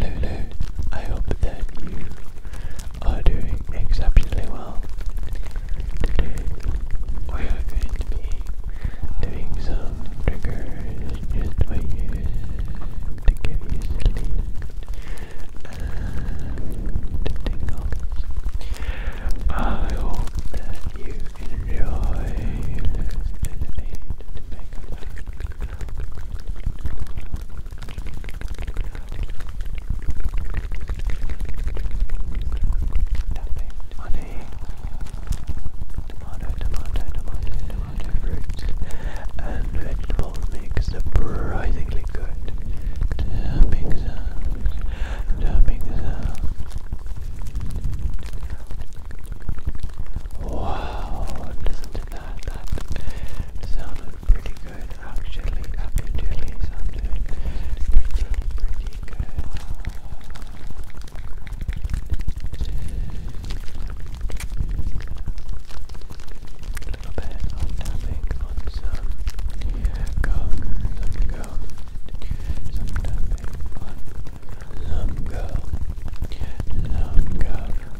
Lulu, I hope that you are doing exceptionally well. Today we are going to be doing some triggers just for you to give you sleep and tingles. I hope that you enjoy listening to Makeup Tapping, honey, tomato, tomato, tomato, tomato, fruits, and vegetables make surprisingly good tapping sounds, Wow, listen that, that sounded pretty good actually, actually sounded pretty, pretty good. little bit of tapping on some gum, some gum, some tapping on some gum, some gum.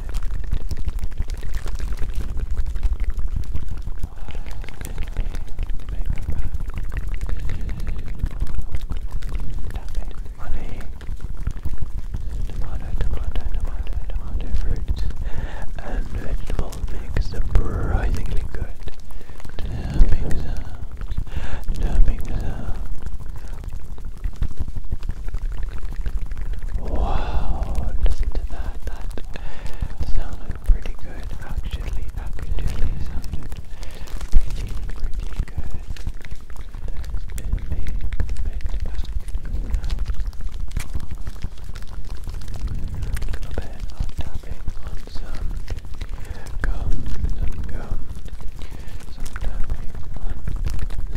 money? Tomato, tomato, tomato, tomato fruits and vegetables make surprisingly good. Tapping sounds, tapping sounds, Wow, listen to that. That sounded pretty good, actually. Actually, sounded pretty, pretty good. A little bit of tapping on some gum, some gum, some tapping on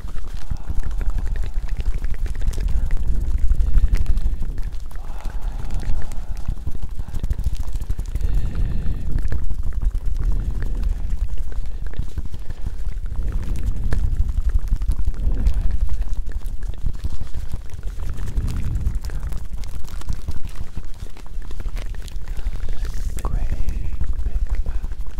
Great big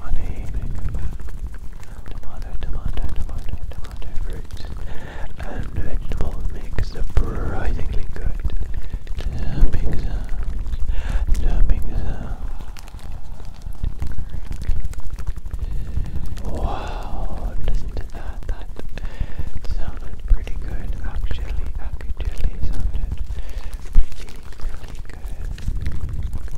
Money, tomato, tomato, tomato, tomato, fruits and vegetable mix surprisingly good. Dumping sounds, dumping sounds, Wow, listen to that. That sounded pretty good, actually. Actually, sounded pretty, pretty good. There's been a little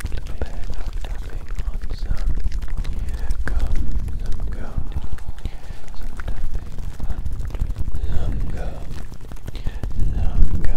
bit of tapping on some gum, some gum some tapping on Lunga. Lunga. Okay,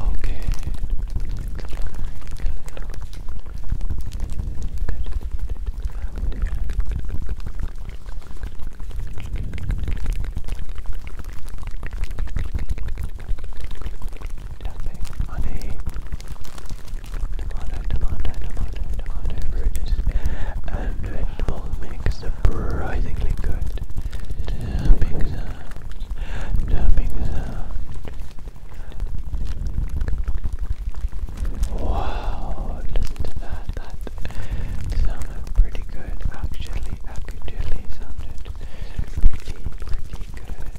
Okay. Nothing, honey. Tomato, tomato, tomato, tomato, fruits and vegetable makes surprisingly good. Pizza. Numbing sound. Wow, listen to that. That sounded pretty good. Actually, actually sounded pretty, pretty good.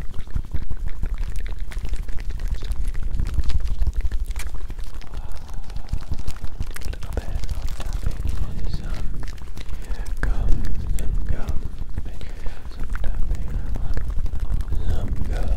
Wow. A little bit of tapping on some gum, some gum, some tapping, some gum, some gum.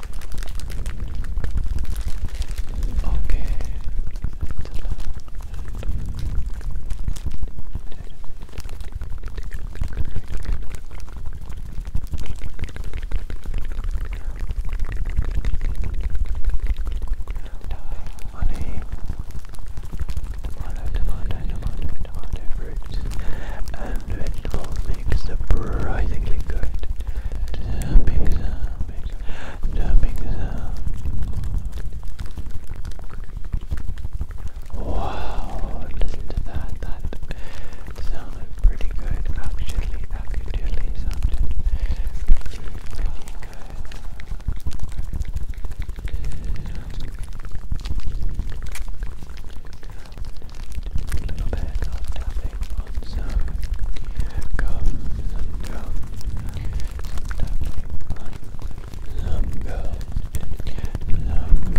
Okay. Honey, tomato, tomato, tomato, tomato, fruits and vegetables makes surprisingly good Wow, listen to that, that sounded pretty good, actually, actually sounded pretty, pretty good a little bit of tapping on some gum, some tapping on some gum, some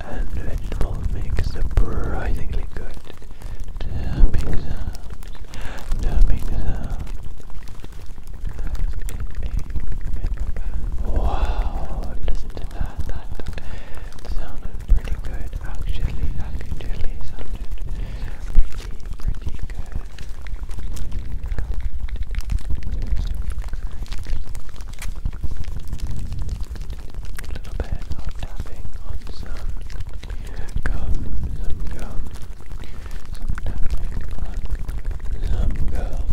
and vegetable make surprisingly good tapping sound. Tapping sound. Wow, listen to that. That sounded pretty good. Actually, actually sounded pretty, pretty good a little bit of tapping on some gum, some gum, some tapping on some gum, some gum.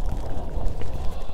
Oh,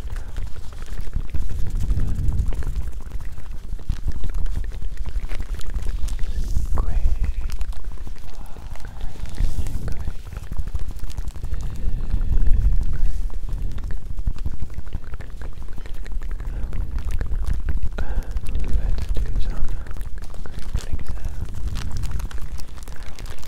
Let's do some crinkling sound.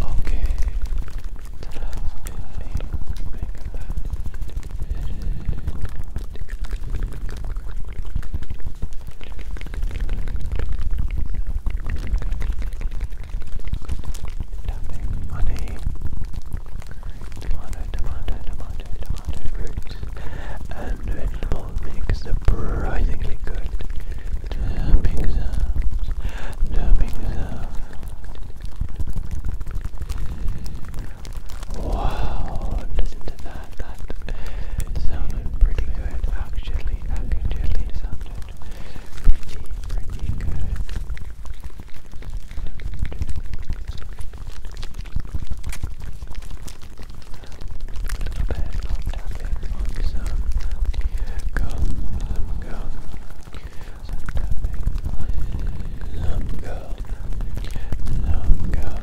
Okay. Tapping, tomato, tomato, tomato, tomato, fruits and good tapping sounds, tapping sounds. Wow, listen to that, that sounded pretty good actually, actually sounded pretty, pretty good little bit of tapping on some gum, some gum, some tapping on some gum, some gum. There has been a whole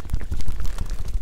Let's do some crinkling sounds.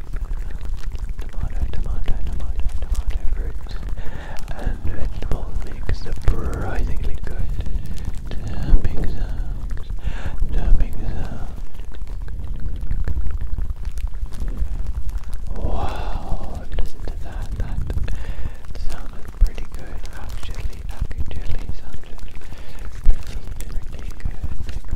Tomato, tomato, tomato, tomato fruits and vegetables make surprisingly good tapping sounds, tapping sounds. Wow, listen to that, that sounded pretty good actually, actually sounded pretty, pretty good.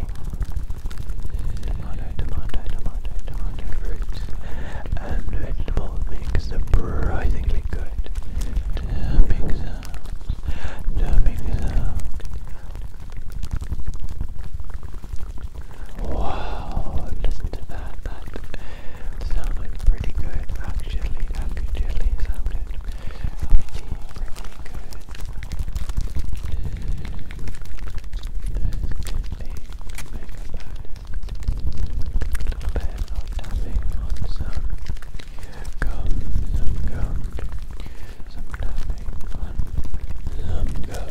fruit. Tomato, tomato, tomato, tomato, fruit, and um, vegetable mix surprisingly good. Dumping sounds, dumping sounds. Wow, listen to that. That sounded pretty good, actually. Actually, sounded pretty, pretty good. There's going to be a bit of tapping on some some some tapping on some gum,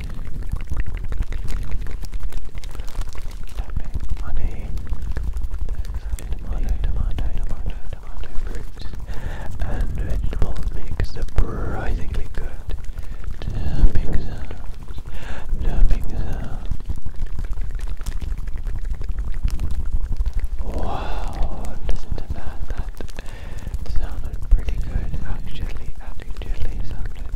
money, tomato, tomato, tomato, tomato, fruits, and vegetables makes surprisingly good tapping sounds, Wow, listen to that, that sounded pretty good, actually, actually sounded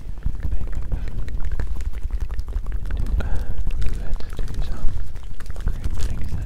Let's do some crinkling sound. Crinkling. Crinkling.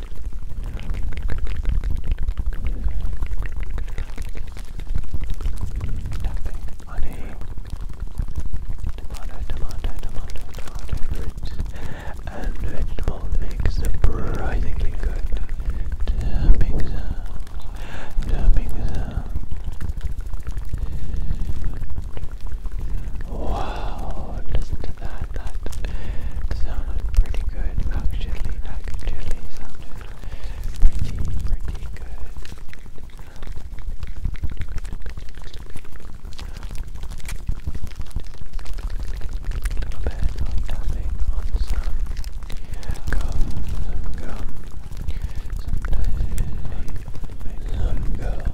Nothing, honey. Tomato, tomato, tomato, tomato, fruits and vegetables make surprisingly good tapping sound, tapping sound. Wow, listen to that that sounded pretty good actually, actually sounded pretty, pretty good. A little bit of tapping on some gum, some gum, sometimes some gum, some gum. Some gum.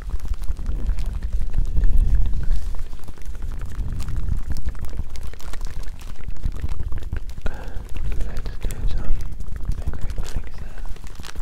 Let's do some incredible things now. Crinkling.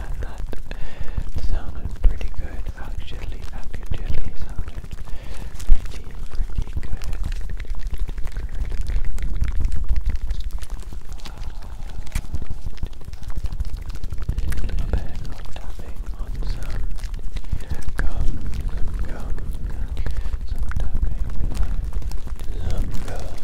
that sounded pretty good actually, actually sounded pretty, pretty good. a little bit of tapping on some gum, some gum, some tapping on some gum.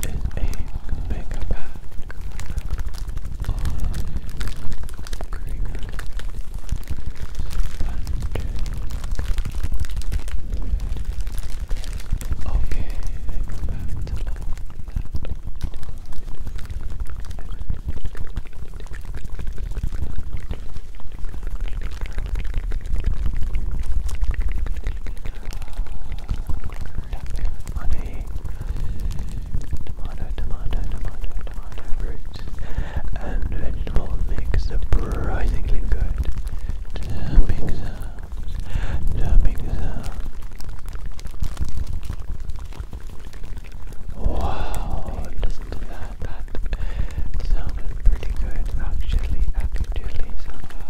This is a mega pack of green Okay, I go back to that. Honey, tomato, tomato, tomato, tomato, fruits, and vegetable mix surprisingly good. Tapping sounds, tapping Wow, listen to that. That sounded pretty good. Actually, actually sounded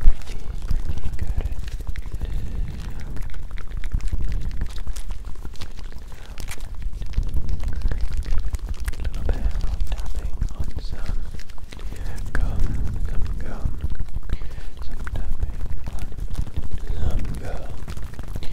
pretty, pretty good. A little bit of tapping on some gum, some gum, some tapping on some gum.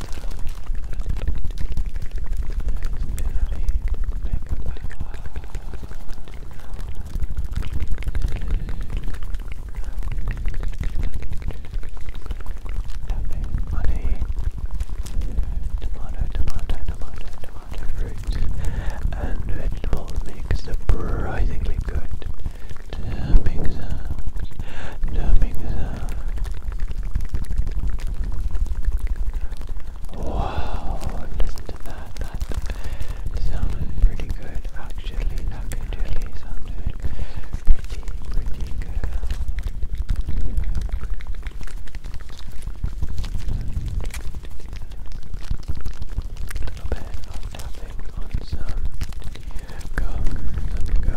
Honey, tomato, tomato, tomato, tomato fruits and vegetables make surprisingly good tapping numbing sound. Uh, wow, listen to that. That sounded pretty good actually. actually sounded pretty, pretty good. A little bit of tapping on some gum, some gum.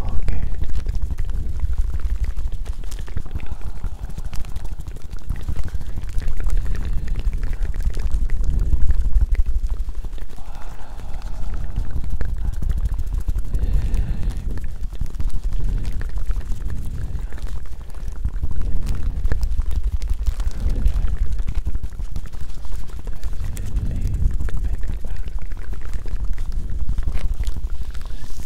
All good.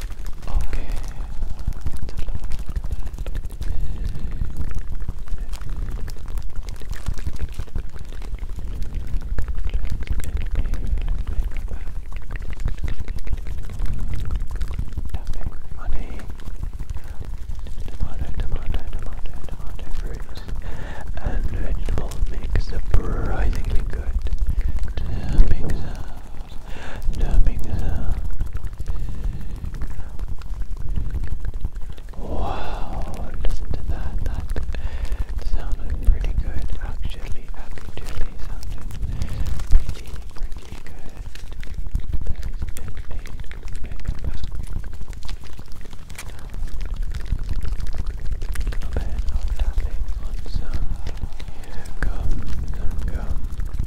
Okay. Money. Tomato, tomato, tomato, tomato and vegetable mix surprisingly good numbing sound. Wow, listen to that. That sounded pretty good. Actually, actually sounded pretty, pretty good. There's been made, made back. A bit of tapping on some gum, some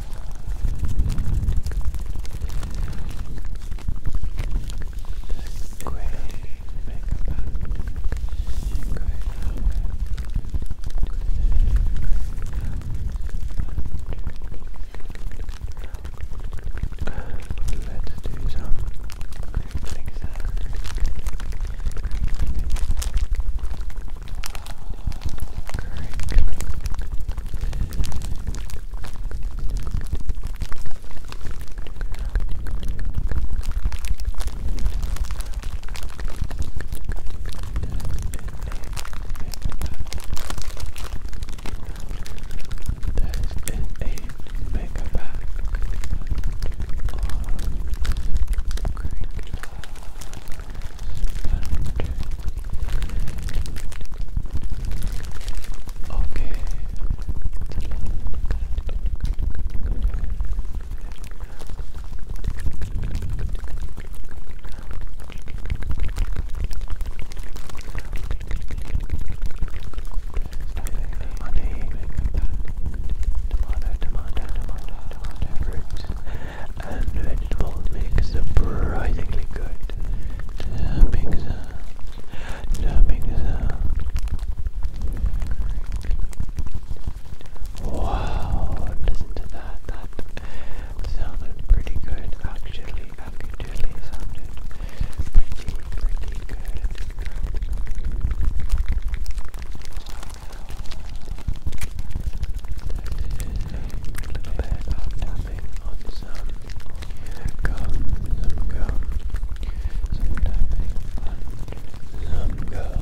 Let's do some crinkling sound. That is a Okay. Honey, tomato, tomato, tomato, tomato, fruit, and vegetable makes surprisingly good tapping sounds, tapping sounds. Wow, listen to that. That sounded pretty good, actually. Actually, sounded pretty, pretty good. a little bit nibbling on some gum, some gum, some having fun, some gum, some gum.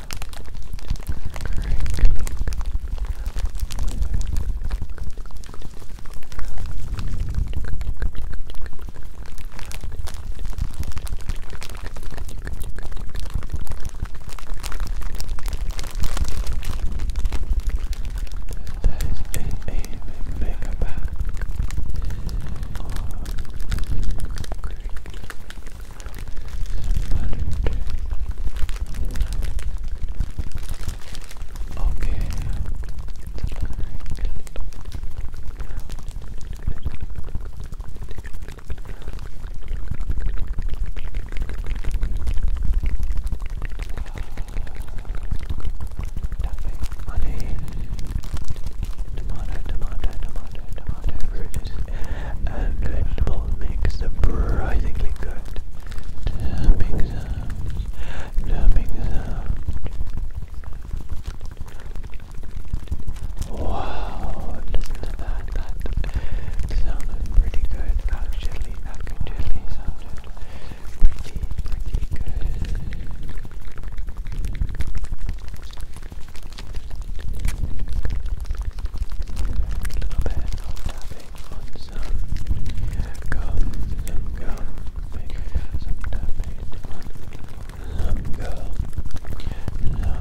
Back. Oh. Okay, it's like Money. Tomato, tomato, tomato, tomato, fruit is and vegetable makes surprisingly good tapping sound, Wow, listen to that, that sounded pretty good actually, actually sounded pretty, pretty good. A little bit tapping on some girls, some girls, make some tapping on some girl, some girl. Oh.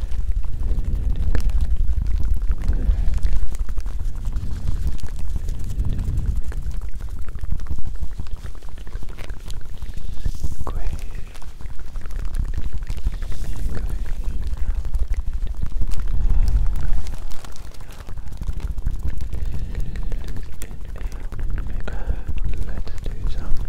Let's do some crinkling sound.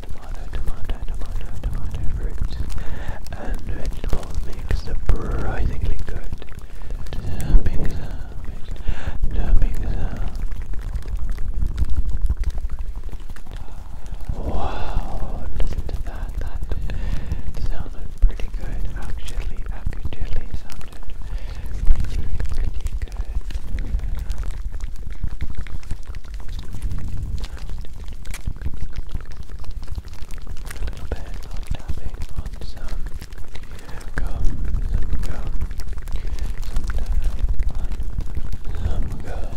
tomato, tomato, tomato, tomato, fruits and vegetables mix surprisingly good. Wow, listen that. That pretty good. Actually, actually sounded pretty, pretty good. A little bit of tapping on some gum, some gum, some tapping on some gum, some gum.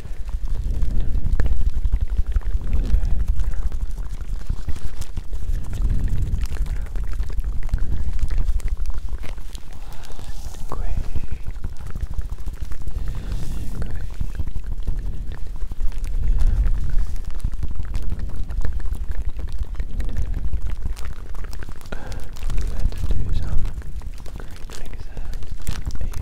Let's do some crinkling sound, there is a mega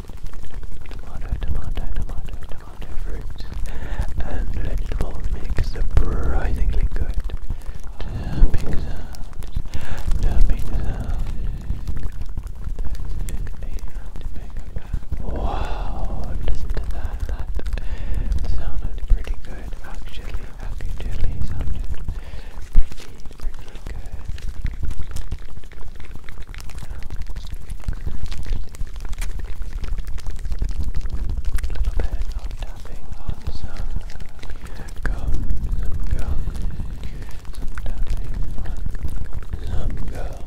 Tomato, tomato, tomato, tomato fruit and vegetables mix surprisingly good. Wow, listen to that. That sounded pretty good, actually. Actually, sounded pretty, pretty good little bit of tapping on some gum, some gum, some tapping on some gum, some gum. A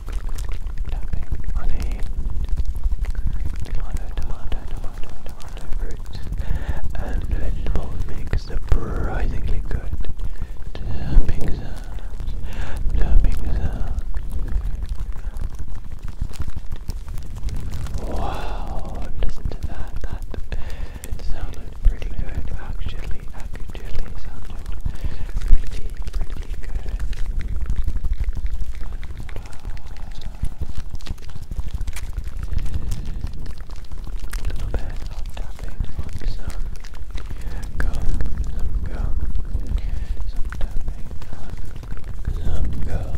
tapping on a tomato, tomato, fruit and vegetables make surprisingly good tapping sounds, Wow, listen to that, that sounded pretty good, actually, actually sounded pretty pretty good. Uh, tapping some gum, some gum, some tapping some gum, some gum.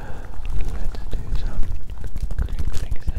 Let's do some crinkling Crinkling.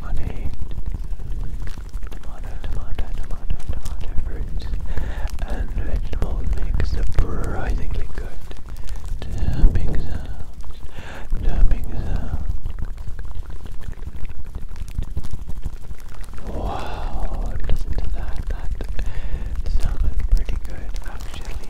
Money, tomato, tomato, tomato, tomato, fruits, and vegetables make surprisingly good tapping sounds, Wow, listen to that, that sounded pretty good actually.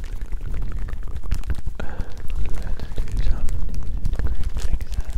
Let's do some crinkling sound. Crinkling sound.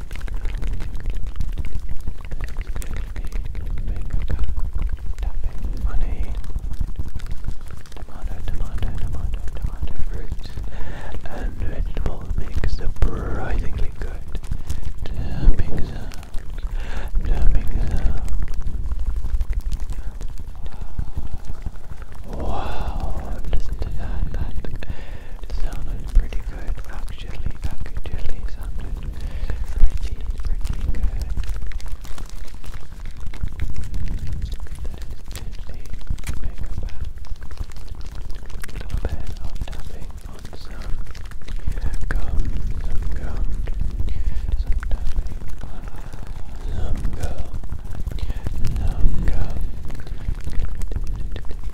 Tapping money. Tomato, tomato, tomato, tomato, fruits and vegetables make surprisingly good tapping sounds. Tapping sounds. Wow, listen to That it sounded pretty good, actually, actually sounded pretty, pretty good. Then make some gum, some gum, some tapping some gum,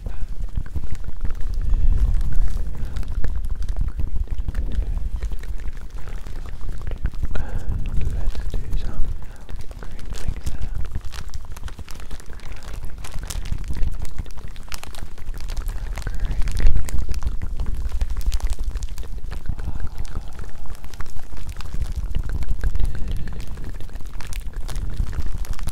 Let's do some crinkling sound.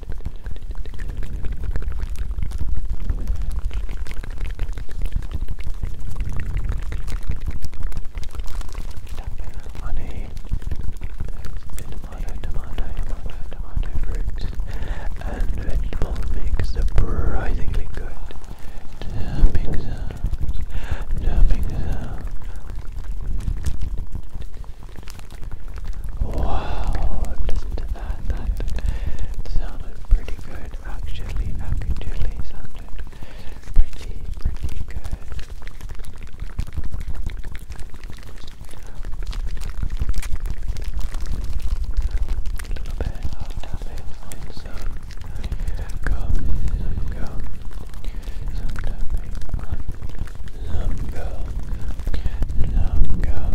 Honey, tomato, tomato, tomato, tomato fruits and vegetable mix surprisingly good. Tapping sounds, Wow, does that, that sounded pretty good actually, actually sounded pretty, pretty good. A little some gum, some gum, some tapping some gum, some gum.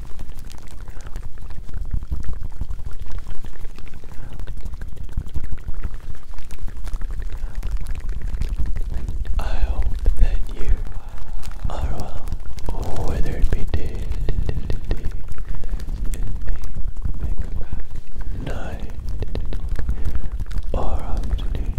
I hope that you are well, whether it be day, night, or afternoon.